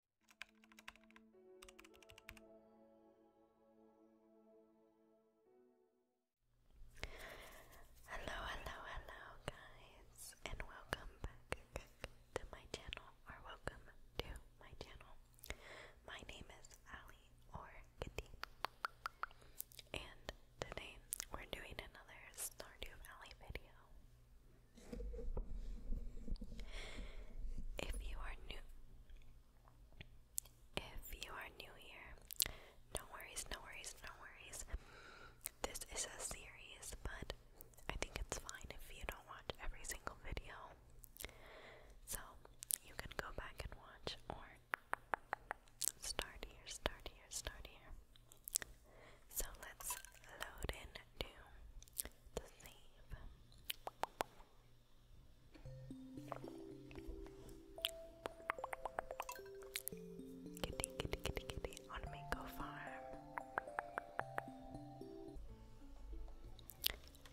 Hello, hello, hello, guys, and welcome back to my channel, or welcome to my channel. My name is Ali or Kitty, and today we're doing another Stardew Valley video. If you are new if you are new here, no worries, no worries, no worries. This is a series, but I think it's fine if you don't watch every single video. So you can go back and watch or start here, start here, start here. So let's load into to save. Kitty, kitty, kitty, kitty Mango Farm.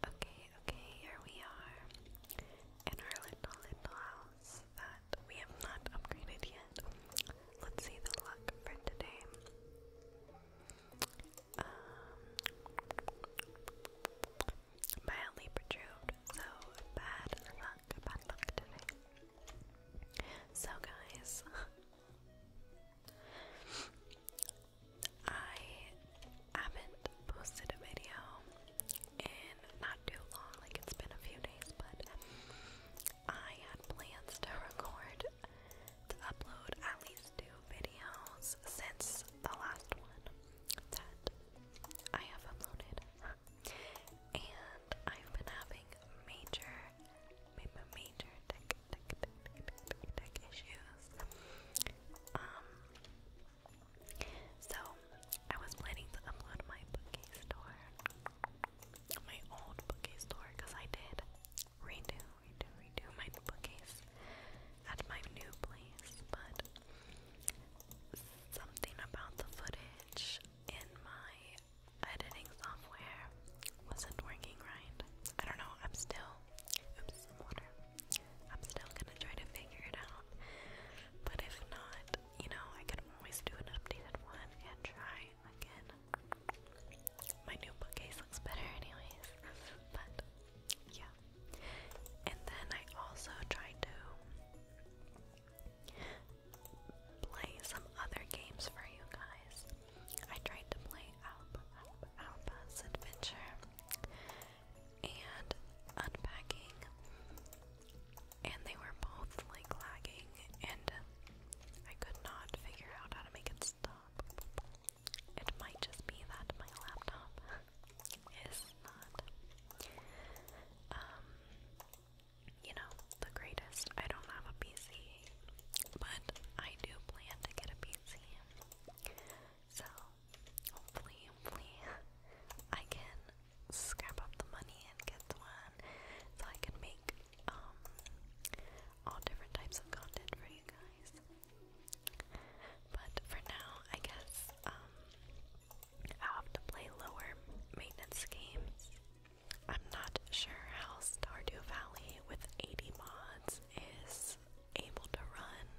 Okay, okay, here we are in our little, little house that we have not upgraded yet. Let's see the luck for today mildly um, perturbed. So bad luck, So guys, I haven't posted a video in not too long. Like it's been a few days, but I had plans to record to upload at least two videos since the last one that I have uploaded. and I've been having major, major, tech, tech, tech, tech, tech, tech issues. Um, so I was planning to upload my bookcase store, my old bookie store, because I did redo redo, redo my bookcase at my new place, but something about the footage in my editing software wasn't working right. I don't know, I'm still, oops, water. I'm still gonna try to figure it out, but if not, you know, I could always do an updated one and try again. My new bookcase looks better, anyways. But yeah. And then I also tried to play some other games for you guys. I tried to play Alp, Alp, Adventure and Unpacking, and they were both like lagging, and I could not figure out how to make it stop. It might just be that my laptop is not, um, you know, the greatest. I don't have a PC, but I do plan to get a PC. So, hopefully, I can scrap up the money and get one so I can make, um, all different types of content for you guys. But for now, I guess um, i have to play lower maintenance games. I'm not sure how Stardew Valley with 80 mods is able to run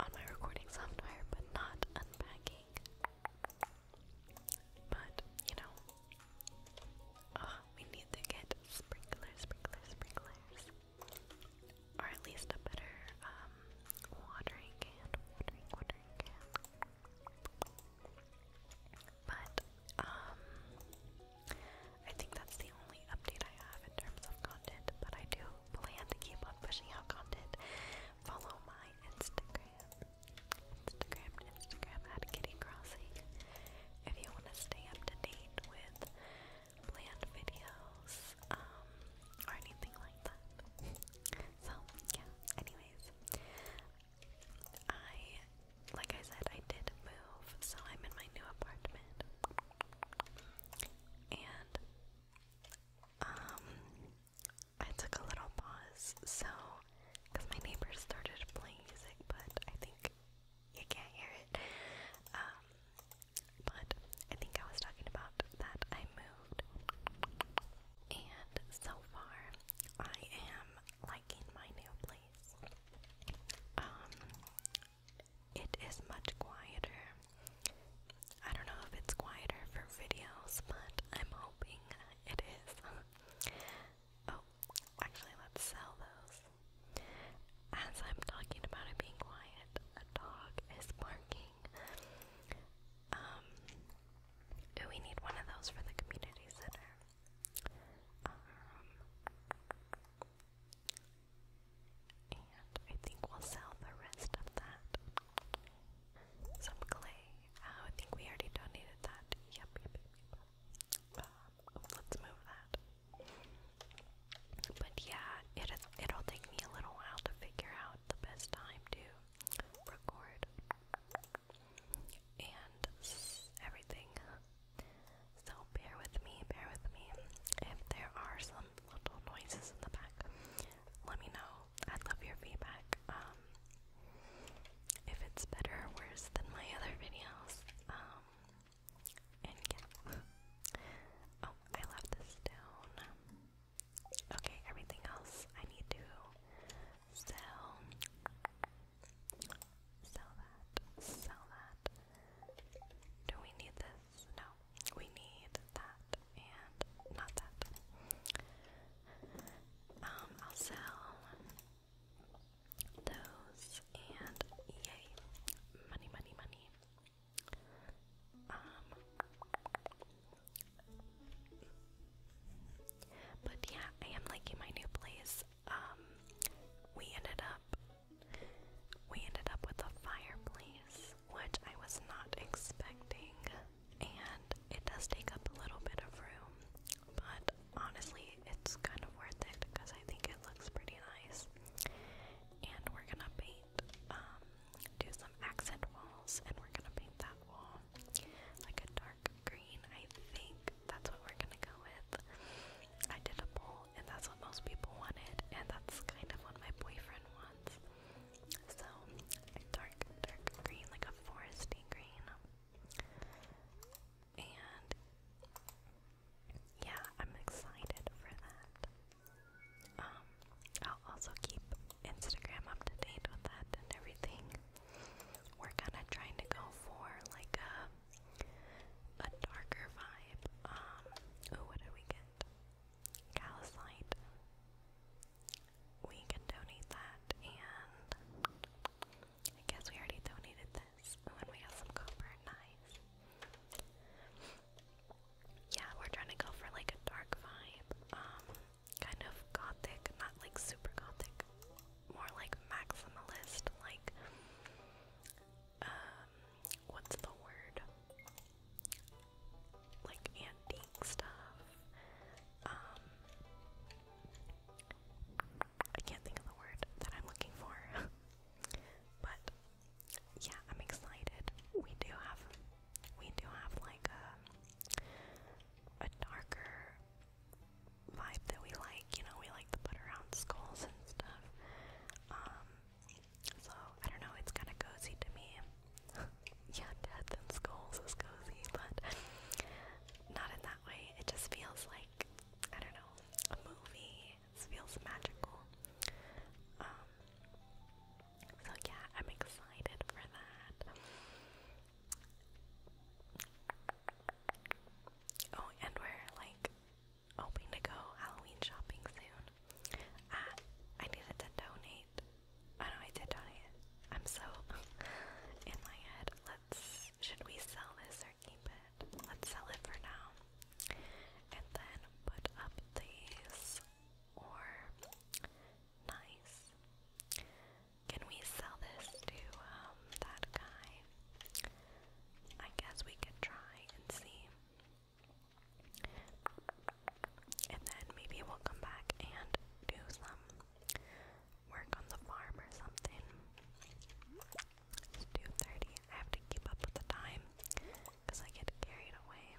on my recording software, but not unpacking. But, you know, we need to get sprinklers, sprinklers, sprinklers. Or at least a better um, watering can. Watering, can. But, um, I think that's the only update I have in terms of content. But I do plan to keep on pushing out content. Follow my Instagram. Instagram, Instagram at Kitty If you want to stay up to date with planned videos, um, or anything like that. So, yeah, anyways. I, like I said, I did move, so I'm in my new apartment. And, um, I took a little pause, so, because my neighbors started playing music, but I think you can't hear it. Um, but I think I was talking about that I moved, and so far I am liking my new place. Um, it is much quieter. I don't know if it's quieter for videos, but I'm hoping it is. Oh, actually, let's sell those. As I'm talking about it being quiet, a dog is barking. Um, do we need one of those for the community center? Um, and I think we'll sell the rest of that. Some clay. Oh, I think we already donated that. yep. Um, let's move that. But yeah, it it'll take me a little while to figure out the best time to record and everything. So bear with me, bear with me. If there are some little noises in the back, let me know. I'd love your feedback. Um, if it's better or worse than my other videos, um, and yeah. Oh, I left the stone. Okay, everything else I need to sell. Sell that. Sell that. Do we need this? No. We need that and not that. Um, I'll sell those, and yay, money, money, money. Um, but yeah, I am liking my new place. Um, we ended up, we ended up with a fireplace, which I was not expecting, and it does take up a little bit of room, but honestly, it's kind of worth it because I think it looks pretty nice. And we're gonna paint, um, do some accent walls, and we're gonna paint that wall like a dark green. I think that's what we're gonna go with. I did a and that's what most people wanted, and that's kind of what my boyfriend wants. So, dark, dark green, like a foresty green. And yeah, I'm excited for that. Um, I'll also keep Instagram up to date with that and everything. We're kind of trying to go for like a a darker vibe. Um, oh, what did we get? Calcite. We can donate that and I guess we already donated this. Oh, and we got some copper. Nice. Yeah, we're trying to go for like a dark vibe. Um, kind of gothic, not like super gothic. More like maximalist, like um what's the word? Like antique stuff. Um, I can't think of the word that I'm looking for. but yeah, I'm excited. We do have we do have like a a darker vibe that we like, you know, we like the butt around skulls and stuff. Um so I don't know, it's kinda cozy to me. yeah, death and skulls is cozy, but not in that way. It just feels like I don't know, a movie it feels magical. Um, so yeah, I'm excited for that. Oh, and we're like hoping to go Halloween shopping soon. Uh, I needed to donate. Oh no, I did donate. I'm so in my head. Let's. Should we sell this or keep it? Let's sell it for now. And then put up these or nice. Can we sell this to um, that guy? I guess we could try and see. And then maybe we'll come back and do some work on the farm or something. 2.30. I have to keep up with the time because I get carried away.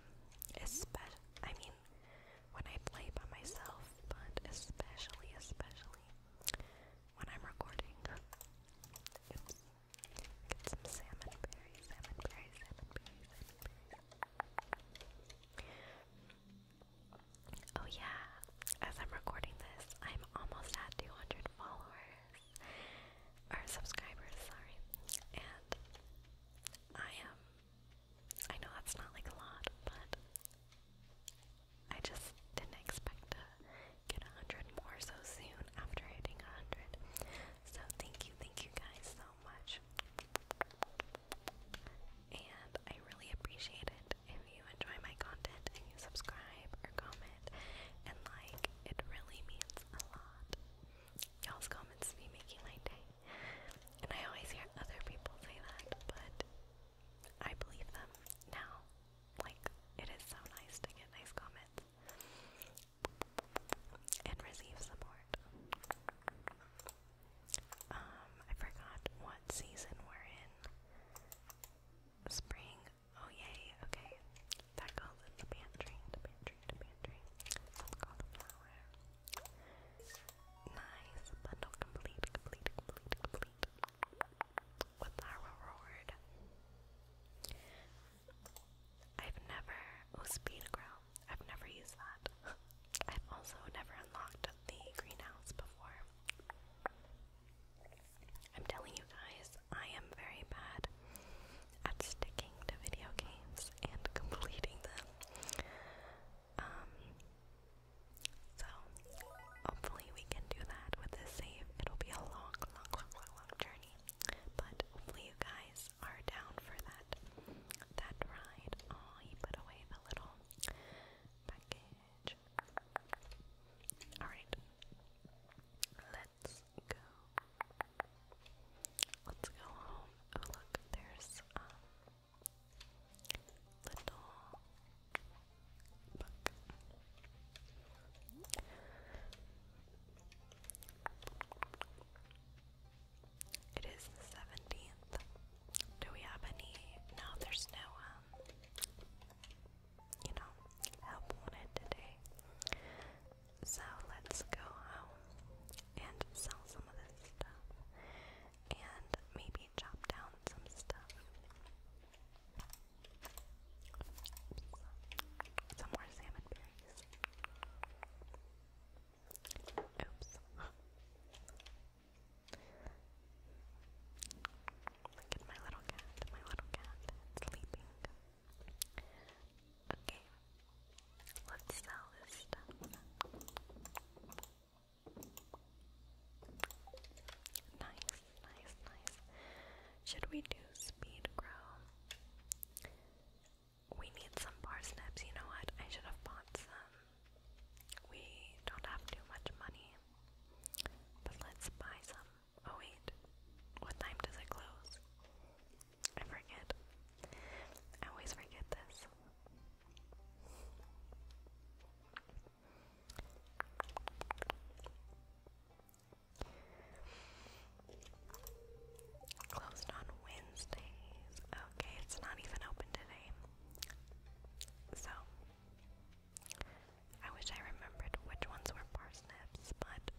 Especially, I mean, when I play by myself, but especially, especially when I'm recording. Get some salmon berry, salmon Oh yeah, as I'm recording this, I'm almost at 200 followers or subscribers, sorry. And I am, um, I know that's not like a lot, but I just didn't expect to get a hundred more so soon after hitting a hundred. So thank you, thank you guys so much. And I really appreciate it you you enjoy my content and you subscribe or comment and like, it really means a lot. Y'all's comments be making my day. And I always hear other people say that, but I believe them now. Like, it is so nice to get nice comments and receive support. Um, I forgot what season we're in. Spring, Oh yay, okay. That goes in the pantry, the pantry, the pantry. Some cauliflower. Nice, bundle complete, complete, complete, complete. With our reward. I've never oh speed grow. I've never used that. I've also never unlocked the greenhouse before. I'm telling you guys, I am very bad at sticking to video games and completing them. Um, so hopefully we can do that with this save. It'll be a long, long, long, long, journey, but hopefully you guys are down for that that ride. Oh, he put away the little package. Alright. Let's go. Let's go home. Oh look, there's um little book. It is the seventeenth. Do we have any? No, there's no um, you know, help wanted today. So let's go home and sell some of this stuff and maybe chop down some stuff. Oops. Some more salmon berries. Oops. Look at my little cat, my little cat, sleeping. Okay, let's sell this Nice, nice, nice. Should we do speed grow? We need some parsnips. You know what? I should have bought some. We don't have too much money, but let's buy some. Oh wait, what time does it close? I forget. always forget this. Closed on Wednesdays. Okay, it's not even open today. So, I wish I remembered which ones were parsnips, but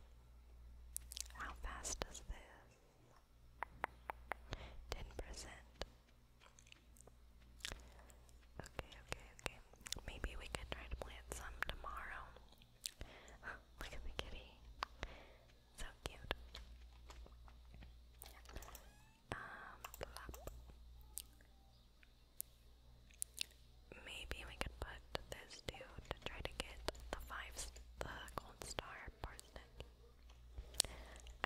how fast is this? 10%. Okay, okay, okay. Maybe we could try to plant some tomorrow. Look at the kitty. So cute. Um, Maybe we could put this too try to get the five the gold star parsnip.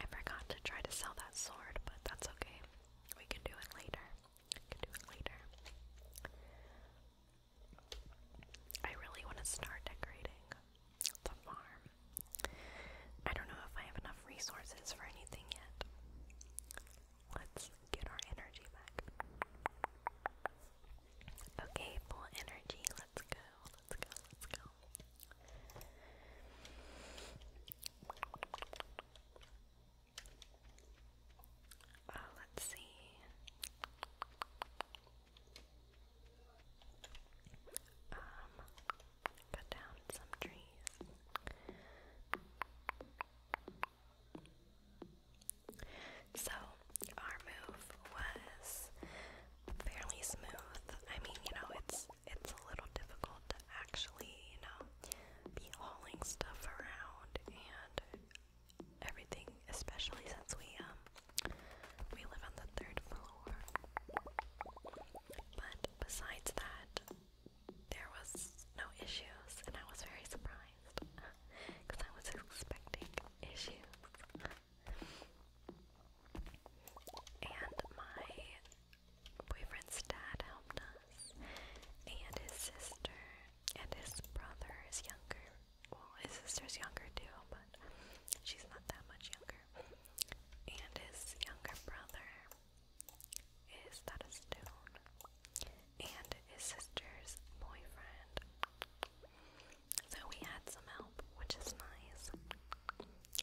I forgot to try to sell that sword, but that's okay. We can do it later. We can do it later. I really want to start decorating the farm. I don't know if I have enough resources for anything yet. Let's get our energy back. Okay, full energy. Let's go. Let's go. Let's go. Oh, let's see. Um, cut down some trees. So, our move was fairly smooth. I mean, you know, it's it's a little difficult to actually, you know, be hauling stuff around and everything, especially since we um we live on the third floor. But besides that, there was no issues, and I was very surprised because I was expecting issues. and my boyfriend's dad helped us, and his sister, and his brother is younger. Well, his sister is younger too, but she's not that much younger. And his younger brother is that a stone? And his sister's boyfriend. So we had some help, which is nice.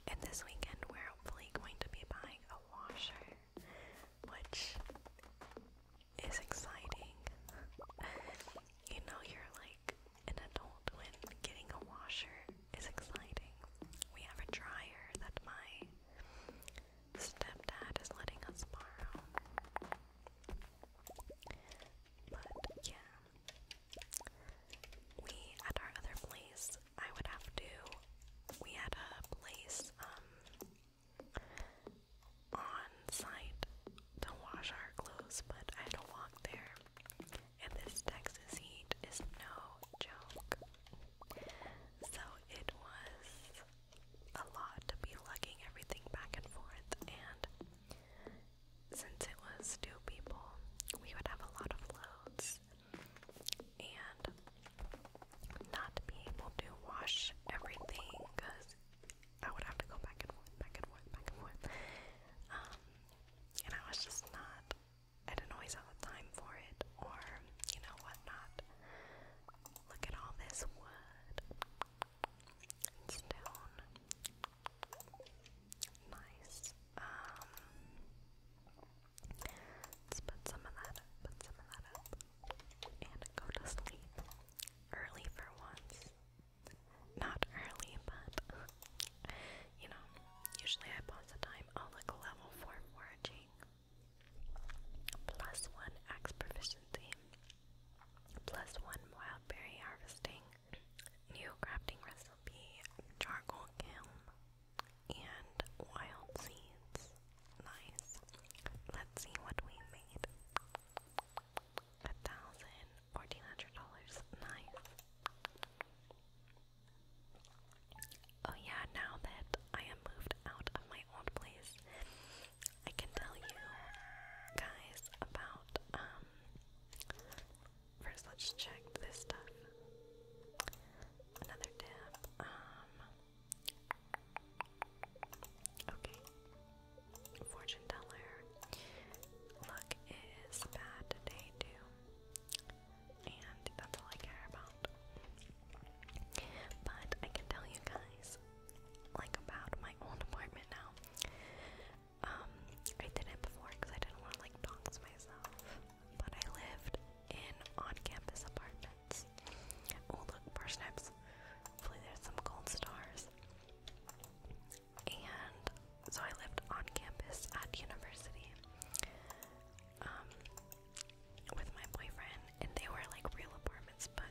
And this weekend we're hopefully going to be buying a washer, which is exciting. you know, you're like an adult when getting a washer is exciting. We have a dryer that my stepdad is letting us borrow. But yeah, we at our other place, I would have to. We had a place um on site to wash our clothes, but I had to walk there. And this Texas heat is no joke. So it was a lot to be lugging everything back and forth, and since it was two people, we would have a lot of loads and not be able to wash everything because I would have to go back and forth, back and forth, back and forth. Um, and I was just not, I didn't always have the time for it or, you know, whatnot. Look at all this wood and stone. Nice. Um let's put some of that up, put some of that up. And go to sleep. Early for once. Not early, but you know, usually I pause the time. Oh look level four foraging plus one axe proficiency, plus one wild berry harvesting, new crafting recipe, charcoal kiln, and wild seeds. Nice. Let's see what we made. A thousand fourteen hundred dollars. Nice. Oh yeah, now that I am moved out of my old place, I can tell you guys about um first let's check this stuff. Another tab. Um Okay. Fortune teller. Luck is bad today too. And that's all I care about. But I can tell you guys, like about my own apartment now. Um, I did it before because I didn't want to like dox myself. But I lived in on-campus apartments. Oh look, parsnips. Hopefully there's some gold stars. And so I lived on campus at university. Um, with my boyfriend, and they were like real apartments, but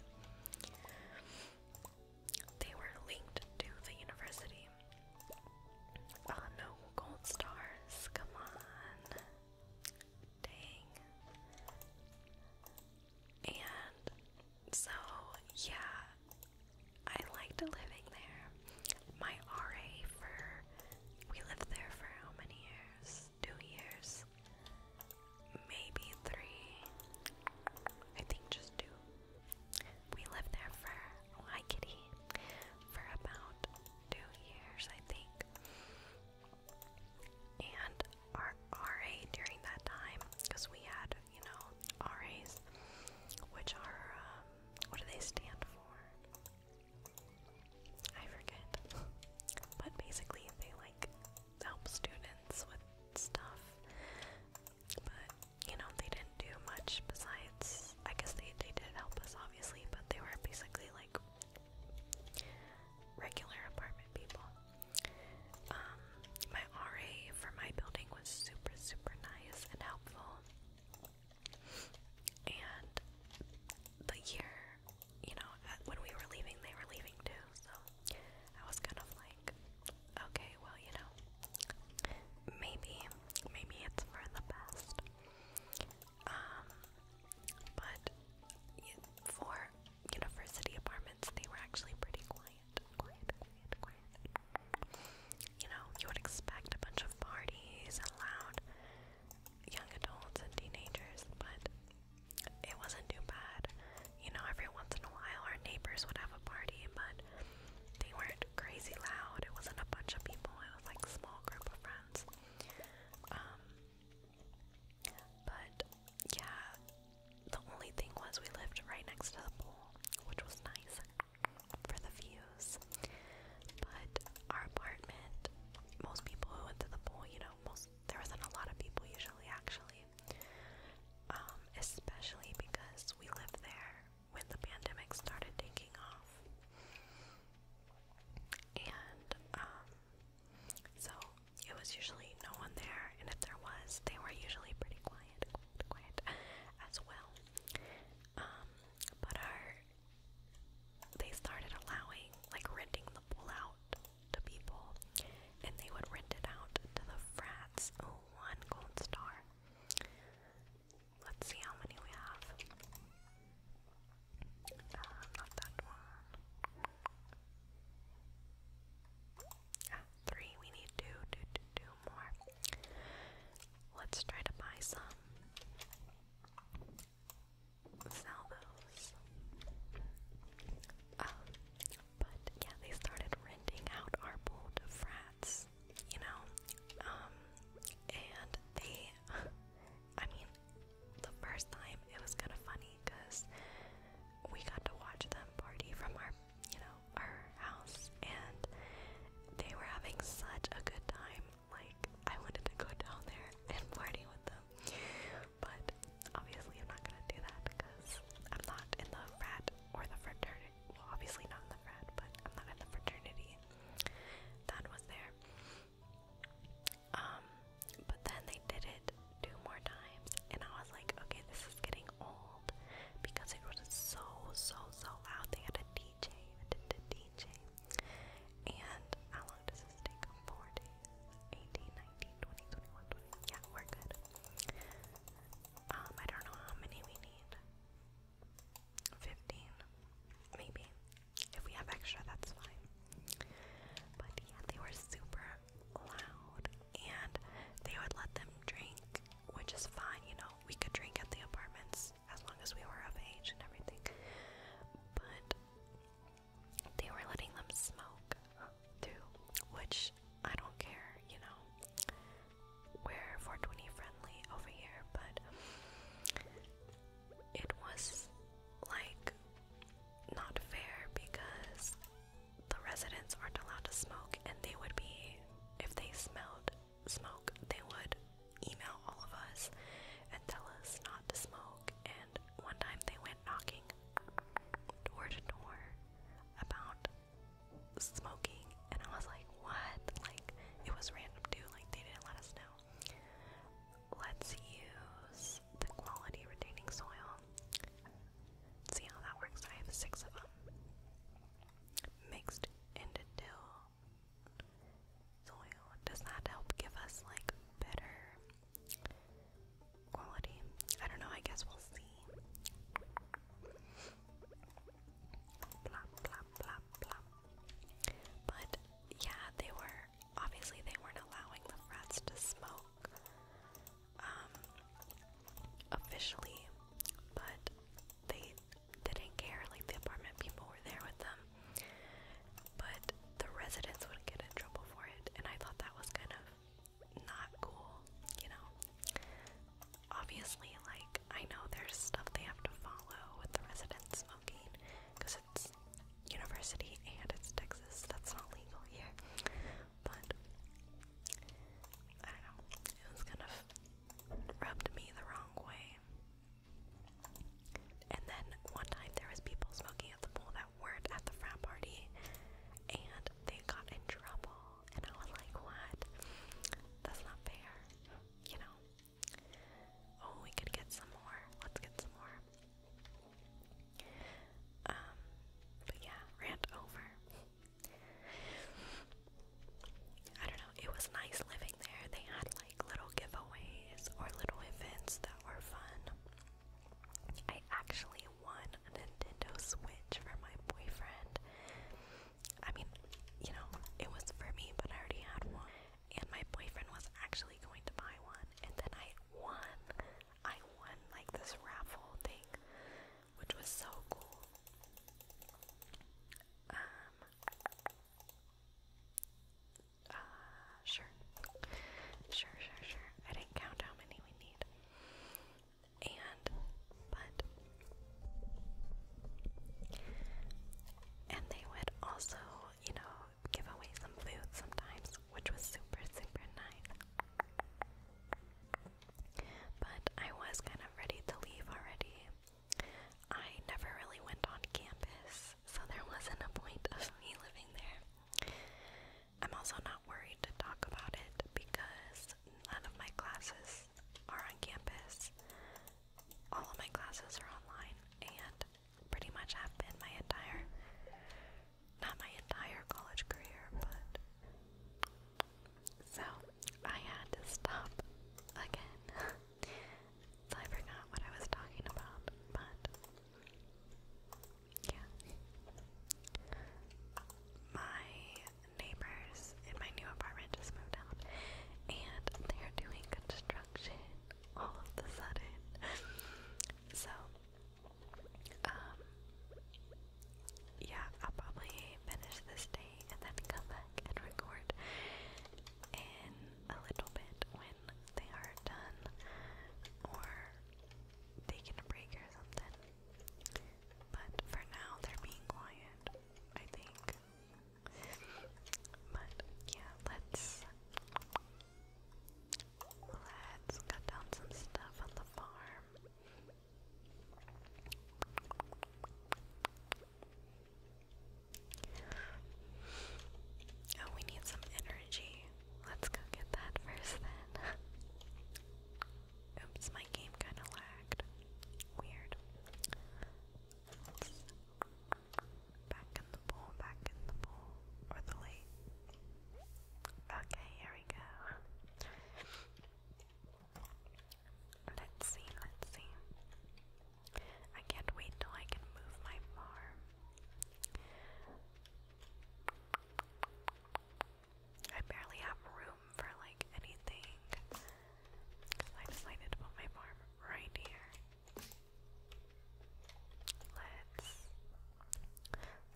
they were linked to the university. Uh, no, gold stars, come on. Dang. And so, yeah, I liked living there. My RA for, we lived there for how many years? Two years. Maybe three. I think just two. We lived there for, oh, hi kitty, for about two years, I think. And our RA during that time, because we had, you know, RAs, which are, um, what do they stand for? I forget. But basically, they like help students with stuff. But you know, they didn't do much besides. I guess they they did help us obviously, but they were basically like regular apartment people. Um, my RA for my building was super super nice and helpful. And the year you know, uh, when we were leaving, they were leaving too, so I was kind of like, okay, well, you know, maybe, maybe it's for the best. Um, but for university apartments, they were actually pretty quiet, quiet, quiet, quiet. You know, you would expect a bunch of parties and loud young adults and teenagers, but it wasn't too bad. You know, every once in a while our neighbors would have a party, but they weren't crazy loud. It wasn't a bunch of people, it was like a small group of friends. Um, but yeah, the only thing was we lived right next to the pool, which was nice for the views. But our apartment, most people who went to the pool, you know, most there wasn't a lot of people usually actually. Um, especially because we lived there when the pandemic started taking off. And um, so it was usually no one there, and if there was, they were usually pretty quiet, quiet, as well. Um, but our they started allowing like renting the pool out to people, and they would rent it out to the frats. Oh, one gold star. Let's see how many we have. Uh, not that one. Ah, three. We need two, two, two, two more. Let's try to buy some sell those. Um, but yeah, they started renting out our pool to frats, you know. Um, and they, I mean, the first time it was kind of funny because we got to watch them party from our, you know, our house, and they were having such a good time. Like, I wanted to go down there and party with them but obviously I'm not gonna do that because I'm not in the frat or the fraternity. Well, obviously not in the frat, but I'm not in the fraternity. That was there. Um, but then they did it two more times, and I was like, okay, this is getting old because it was so, so, so loud. They had a DJ, a d d DJ, and how long does this take? Four 18, Yeah, we're good. Um, I don't know how many we need. 15, maybe. If we have extra, that's fine. But yeah, they were super loud and they would let them drink, which is fine, you know. We could drink at the apartments as long as we were of age and everything. But they were letting them smoke too, which I don't care, you know. We're 420 friendly over here, but it was like not fair because the residents aren't allowed to smoke, and they would be, if they smelled smoke, they would email all of us and tell us not to smoke, and one time they went knocking door to door about smoking, and I was like, what? Like, it was random too, like, they didn't let us know. Let's use the quality retaining soil. See how that works. I have six of them mixed into dill soil. Does that help give us like better quality. I don't know, I guess we'll see. But yeah, they were obviously they weren't allowing the frats to smoke um, officially, but they didn't care, like the apartment people were there with them but the residents would get in trouble for it, and I thought that was kind of not cool, you know. Obviously, like, I know there's stuff they have to follow with the residents smoking because it's university and it's Texas, that's not legal here, but I don't know, it was kind of rubbed me the wrong way. And then one time there was people smoking at the pool that weren't at the frat party, and they got in trouble. And I was like, "What? That's not fair." You know. Oh, we could get some more. Let's get some more. Um, but yeah, rant over. I don't know, it was nice living there. They had like little giveaways or little events that were fun. I actually won a Nintendo Switch for my boyfriend. I mean, you know, it was for me, but I already had one. And my boyfriend was actually going to buy one. And then I won. I won, like, this raffle thing, which was so cool. Um, uh, sure. Sure, sure, sure. I didn't count how many we need. And, but. And they would also, you know, give away some food sometimes, which was super, super nice. But I was kind of ready to leave already. I never really went on campus, so there wasn't a point of me living there. I'm also not worried to talk about it because none of my classes are on campus. All of my classes are online and pretty much have been my entire not my entire college career, but so I had to stop again. so I forgot what I was talking about, but yeah. My neighbors in my new apartment just moved out and they're doing construction all of the sudden. so, um, yeah, I'll probably finish this day and then come back and record in a little bit when they are done or taking a break or something. But for now, they're being quiet, I think. But yeah, let's let's cut down some stuff on the farm. Oh, we need some energy. Let's go get that first then. Oops, my game kind of lagged. Weird. back in the bowl, back in the bowl, or the lake. Okay, here we go. Let's see, let's see. I can't wait till I can move my farm. I barely have room for like anything I decided to put my farm right here. Let's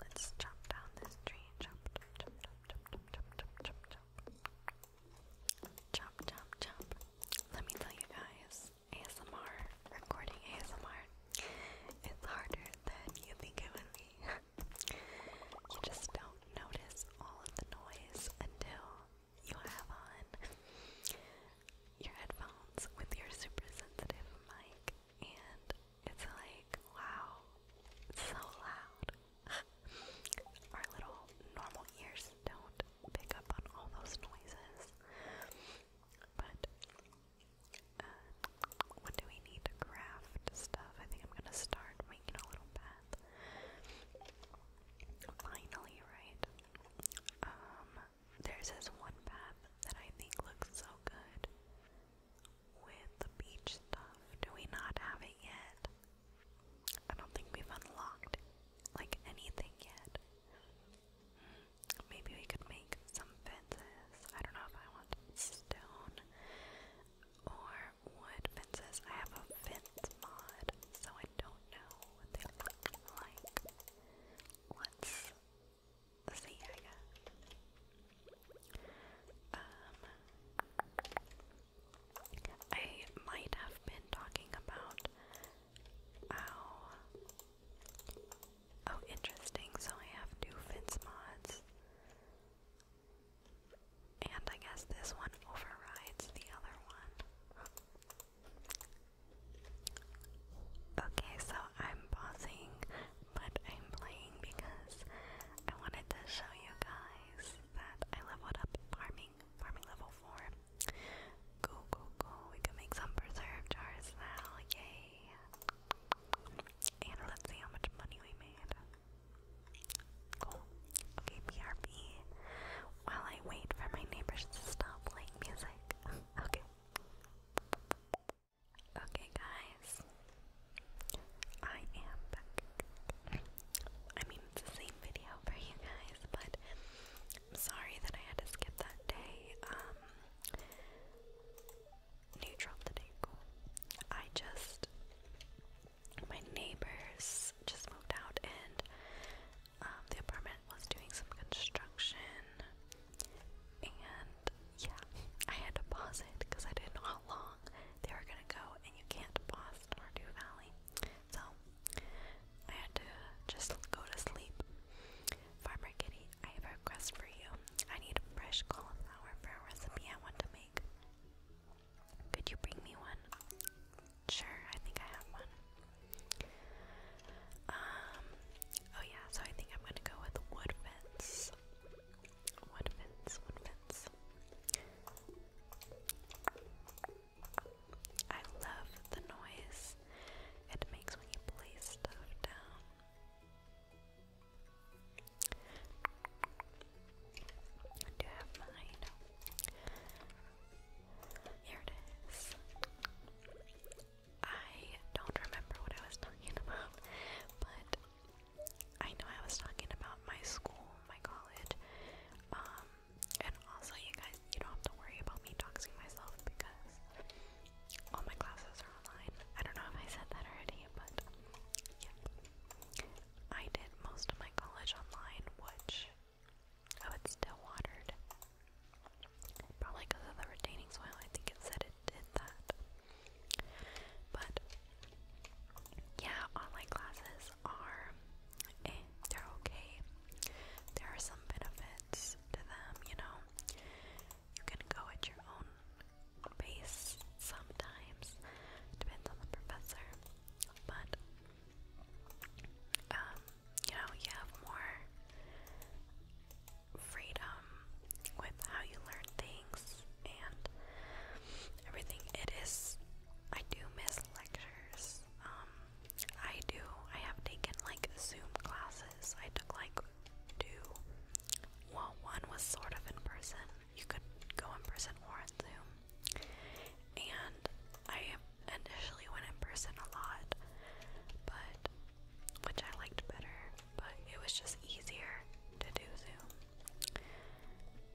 let's chop down this tree. Chop, chop, chop, chop, chop, chop, chop, chop, chop, chop, chop. Let me tell you guys, ASMR, recording ASMR, it's harder than you think it would be. you just don't notice all of the noise until you have on your headphones with your super sensitive mic, and it's like, wow, it's so loud. Our little normal ears don't pick up on all those noises. But uh, do we need to craft stuff? I think I'm gonna start making a little path. Finally, right? Um, there's this one path that I think looks so good with the beach stuff. Do we not have it yet? I don't think we've unlocked like anything yet. Maybe we could make some fences. I don't know if I want stone or wood fences. I have a fence mod, so I don't know what they look like. Let's see, I guess. Um, I might have been talking about Ow. Oh, interesting. So I have two fence mods. And I guess this one overrides the other one. Okay, so I'm pausing, but I'm playing because I wanted to show you guys that I leveled up farming, farming level 4. Go, go, go. We can make some preserve jars now. Yay. And let's see how much money we made. Okay, BRB. While I wait for my neighbors to stop playing music. okay. Okay, guys. I am back. I mean, it's the same video for you guys, but i sorry that I had to skip that day. Um, neutral today, I just, my neighbors just moved out and um, the apartment was doing some construction. And yeah, I had to pause it because I didn't know how long they were gonna go, and you can't pause Stardew Valley. So I had to just go to sleep. Farmer Kitty I have a request for you. I need fresh cauliflower for a recipe I want to make. Could you bring me one? Sure, I think I have one. Um, oh yeah, so I think I'm gonna go with wood fence. Wood fence, wood fence. I love the noise it makes when you place stuff down. I do have mine. Here it is. I don't remember what I was talking about, but I know I was talking about my school, my college, um, and also you guys, you don't have to worry about me doxing myself because all my classes are online. I don't know if I said that already, but yep. I did most of my college online, which oh, it's still watered. Probably because of the retaining soil. I think it said it did that. But yeah, online classes are eh, they're okay. There are some benefits to them, you know. You can go at your own pace sometimes, depends on the professor. But um, you know, you have more freedom with how you learn things and everything. It is I do miss lectures. Um I do. I have taken like Zoom classes. I took like do. Well, one was sort of in person. You could go in person or on Zoom. And I initially went in person a lot, but which I liked better, but it was just easier to do Zoom.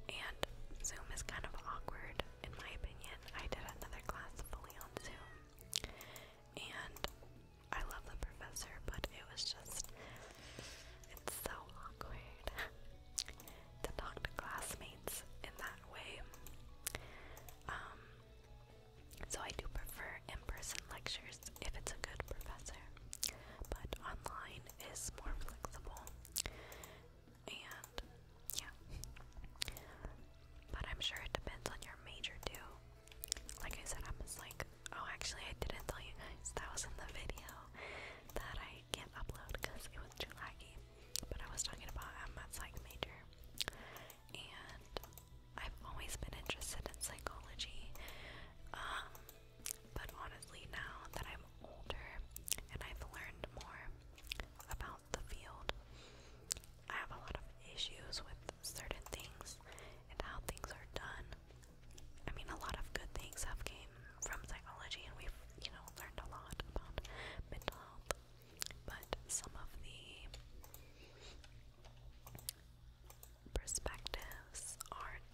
And Zoom is kind of awkward in my opinion. I did another class fully on Zoom and I love the professor, but it was just it's so awkward to talk to classmates in that way. Um, so I do prefer in-person lectures if it's a good professor, but online is more flexible. And yeah, but I'm sure it depends on your major too. Like I said, I was like, oh, actually, I didn't tell you guys that was in the video that I can't upload because it was too laggy. But I was talking about I'm a psych major, and I've always been interested in psychology. Um, but honestly, now that I'm older and I've learned more about the field, I have a lot of issues with certain things and how things are done. I mean, a lot of good things have came from psychology, and we've you know learned a lot about mental health. But some of the perspectives aren't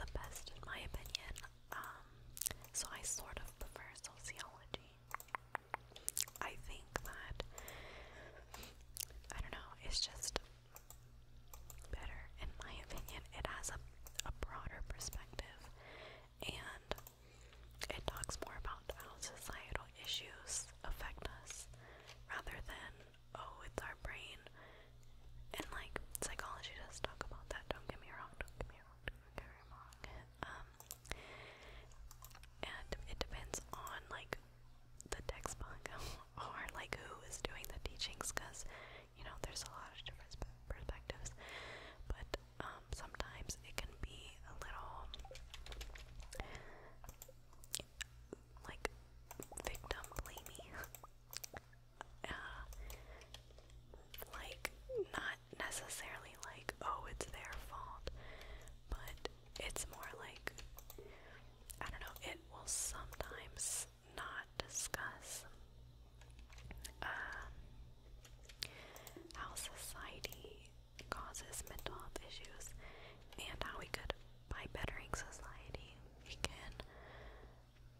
the best, in my opinion. Um, so I sort of prefer sociology. I think that I don't know, it's just better in my opinion. It has a broader perspective and it talks more about how societal issues affect us rather than oh it's our brain and like psychology does talk about that, don't get me wrong, don't get me wrong, don't get me wrong. Um and it depends on like the text book or like who is doing the teachings because you know there's a lot of different perspectives but um, sometimes it can be a little like victim blamey uh, like not necessarily like oh it's their fault but it's more like I don't know, it will sometimes not discuss um, how society causes mental health issues and how we could, by bettering society, we can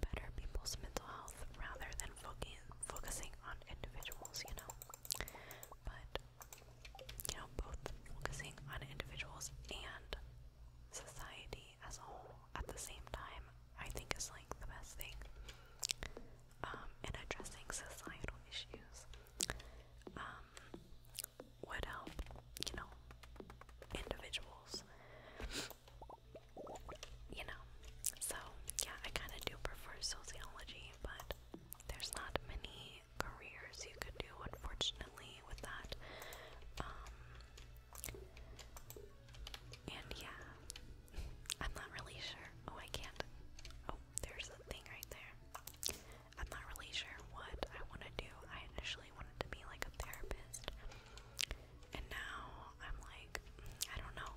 better people's mental health rather than focusing on individuals, you know. But you know, both focusing on individuals and society as a whole at the same time, I think is like the best thing. Um, in addressing societal issues, um, would help, you know, individuals. You know, so yeah, I kind of do prefer sociology, but there's not many careers you could do, unfortunately, with that. Um, and yeah, I'm not really sure. Oh, I can't. Oh, there's a thing right there. I'm not really sure what I want to do. I initially wanted to be like a therapist, and now I'm like, I don't know.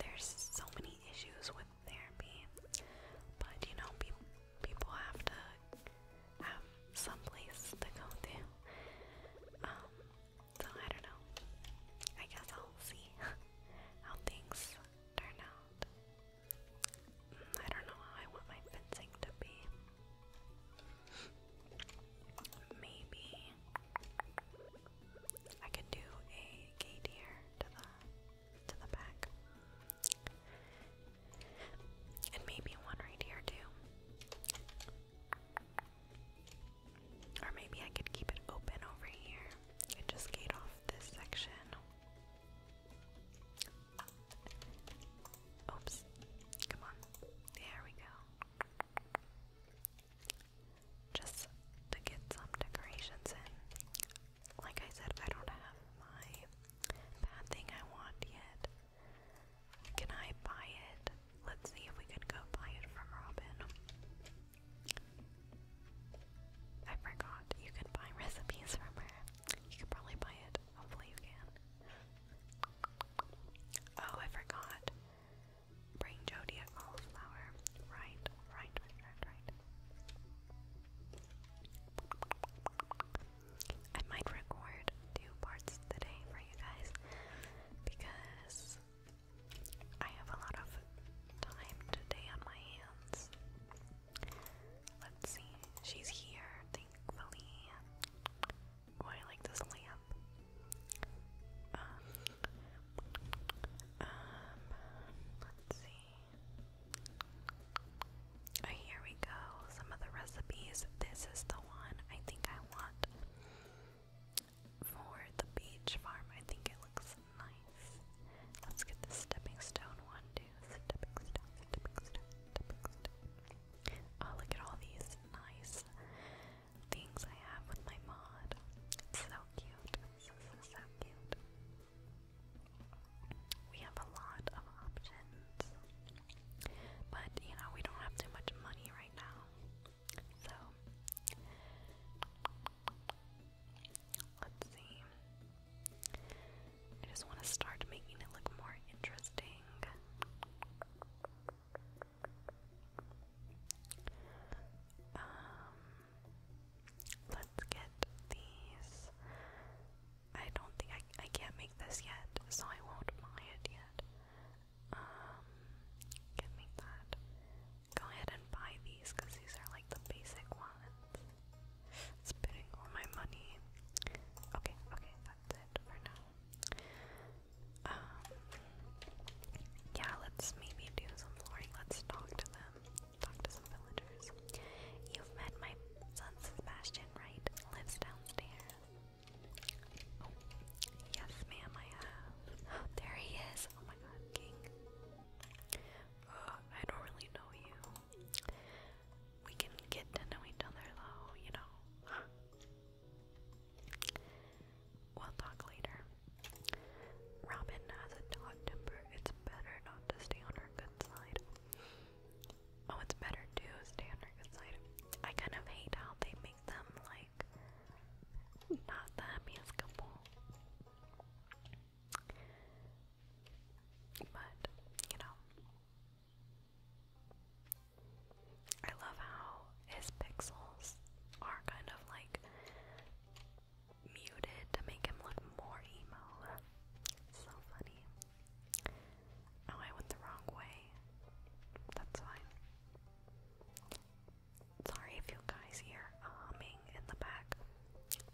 There's so many issues with therapy. But you know, pe people have to have some place to go to. Um, so I don't know. I guess I'll see how things turn out. Mm, I don't know how I want my fencing to be. Maybe I could do a gate here to the to the back. And maybe one right here too. Or maybe I could keep it open over here and just gate off this section. Oops. Come on. There we go. Just to get some decorations in like I said, I don't have my bad thing I want yet. Can I buy it? Let's see if we can go buy it from Robin. I forgot you can buy recipes from her. You can probably buy it. Hopefully, you can. Oh, I forgot. Bring Jody a cauliflower. Right, right, right, right, right. I might record two parts today for you guys because I have a lot of time today on my hands. Let's see, she's here, thankfully. Oh, I like this lamp. Um, um let's see here we go. Some of the recipes. This is the one I think I want for the beach farm. I think it looks nice. Let's get the stepping stone one, too. Oh, look at all these nice things I have with my mod. It's so cute. This so cute. We have a lot of options, but you know, we don't have too much money right now, so let's see. I just want to start making it look more interesting. Um, Let's get these. I don't think I, I can't make this yet, so I won't buy it yet. Um, can't that. Go ahead and buy these because these are like the basic ones. Spending all my money. Okay, okay, that's it for now. Um, yeah, let's maybe do some flooring. Let's talk to them talk to some villagers. You've met my son Sebastian, right? Lives downstairs. Oh, yes, ma'am, I have. Oh, there he is. Oh my god, King. Uh, I don't really know you. We can get to know each other, though, you know. We'll talk later. Robin has a taut temper. It's better not to stay on her Oh, it's better to stay on our good side. I kind of hate how they make them like not the happiest But, you know. I love how his pixels are kind of like muted to make him look more emo. So funny. Oh, I went the wrong way. That's fine. Sorry if you guys hear a humming in the back.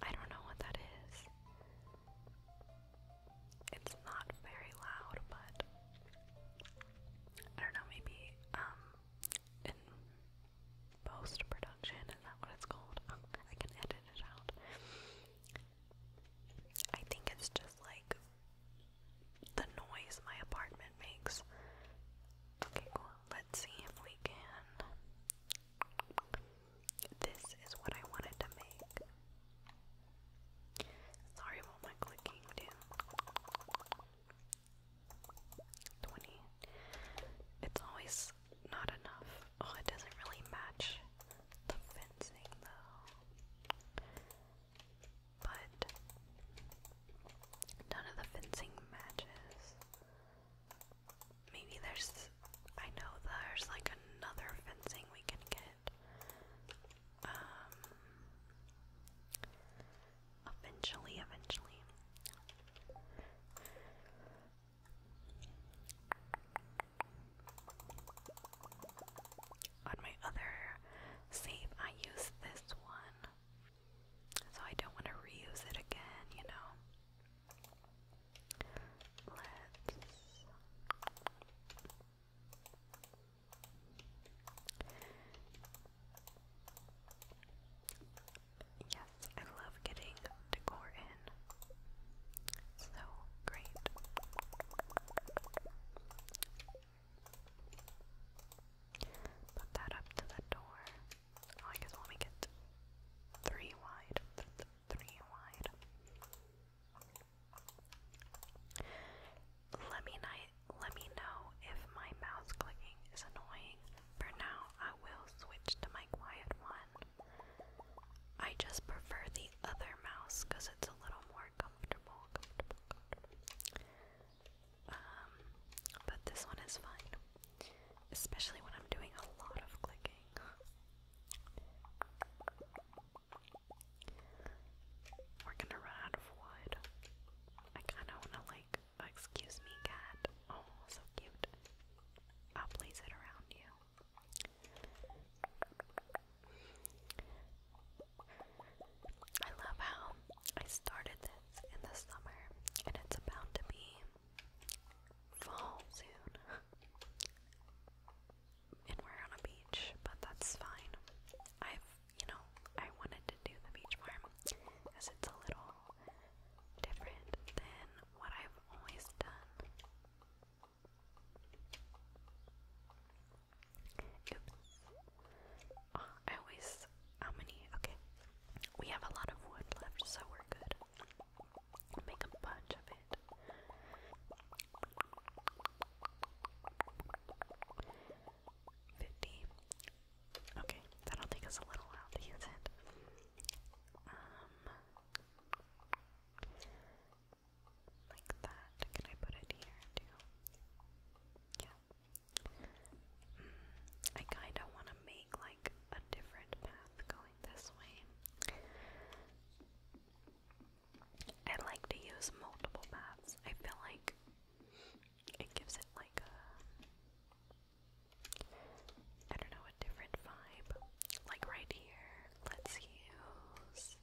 I don't know what that is. It's not very loud, but I don't know, maybe um in post production is that what it's called? Um, I can edit it out. I think it's just like the noise my apartment makes. Okay, cool. Let's see if we can. This is what I wanted to make. Sorry about my clicking, dude. 20. It's always not enough. Oh, it doesn't really match the fencing though. But none of the fencing matches. Maybe there's I know there's like another fencing we can get. Um eventually, eventually. On my other save, I used this one, so I don't want to reuse it again, you know. Let's Yes, I love getting decor in. So great. Put that up to the door. Oh, I guess we'll make three wide. three wide. Let me let me know if my mouse clicking is annoying. For now, I will switch to my quiet one I just prefer the other mouse because it's a little more comfortable, Um, but this one is fine, especially when I'm doing a lot of clicking. We're gonna run out of wood. I kinda wanna like, excuse me, cat. Oh, so cute. I'll place it around you. I love how I started this in the summer and it's about to be fall soon. and we're on a beach, but that's fine. I've, you know, I wanted to do the beach farm because it's a little different than what I've always done. Oops. I always. How many? Okay. We have a lot of wood left, so we're good. make a bunch of it. Fifty. Okay, that'll take us a little while to use it. Um, like that. Can I put it here too? Yeah. Mm, I kind of want to make like a different path going this way. I like to use multiple paths. I feel like it gives it like a I don't know, a different vibe. Like right here, let's use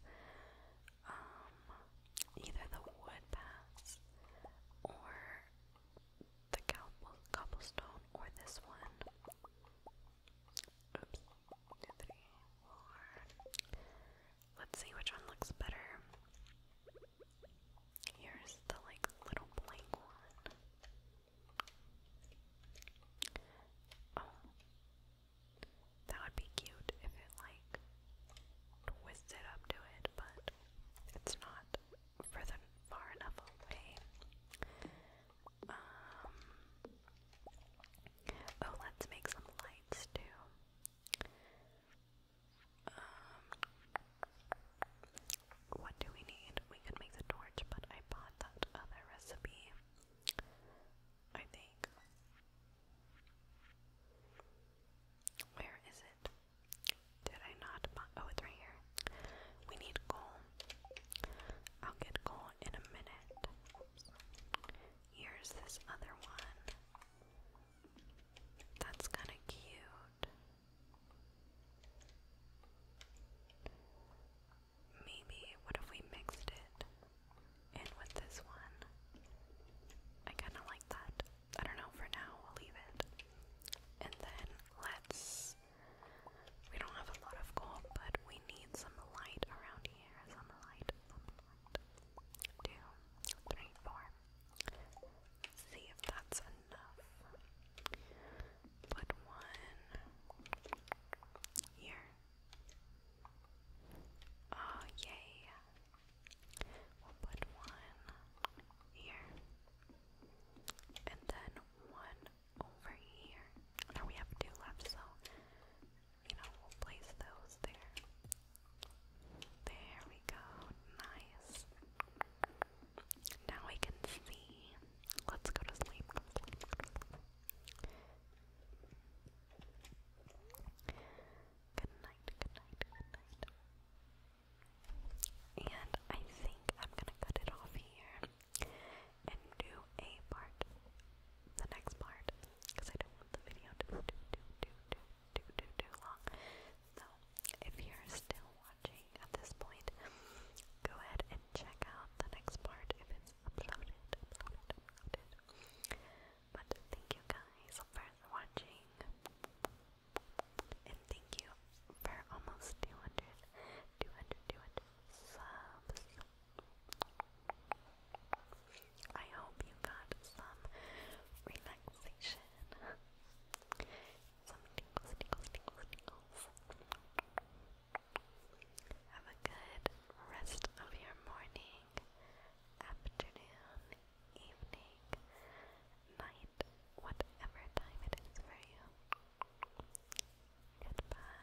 um, either the wood paths or the cobblestone or this one. Oops. Two, three, four. Let's see which one looks better. Here's the like little blank one. Oh. That would be cute if it like twisted up to it, but it's not further far enough away. Um Oh, let's make some lights too. Um what do we need? We could make the torch, but I bought that other recipe. I think. Where is it? Did I not Oh, it's right here. We need coal. I'll get coal in a minute. Here's this other one. That's kind of cute. Maybe, what if we mixed it in with this one? I kinda like that. I don't know, for now, we'll leave it. And then let's. We don't have a lot of gold, but we need some light around here. Some light, Two, see if that's enough put one here. Oh, yay. We'll put one here. And then one over here. Now we have two left, so, you know, we'll place those there. There we go. Nice. Now we can see. Let's go to sleep. Good night, good night, good night. And I think I'm gonna cut it off here and do a part, the next part, because I don't want the video to be too, too, too, too, too, too, too long. So, if you're still watching at this point, go ahead and check out the next part if it's uploaded, But thank you guys for watching, and thank you for almost 200, subs. I hope you got some relaxation. Some tingles, tingles, tingles, have a good rest of your morning, afternoon, evening, night, whatever time it is for you. Goodbye.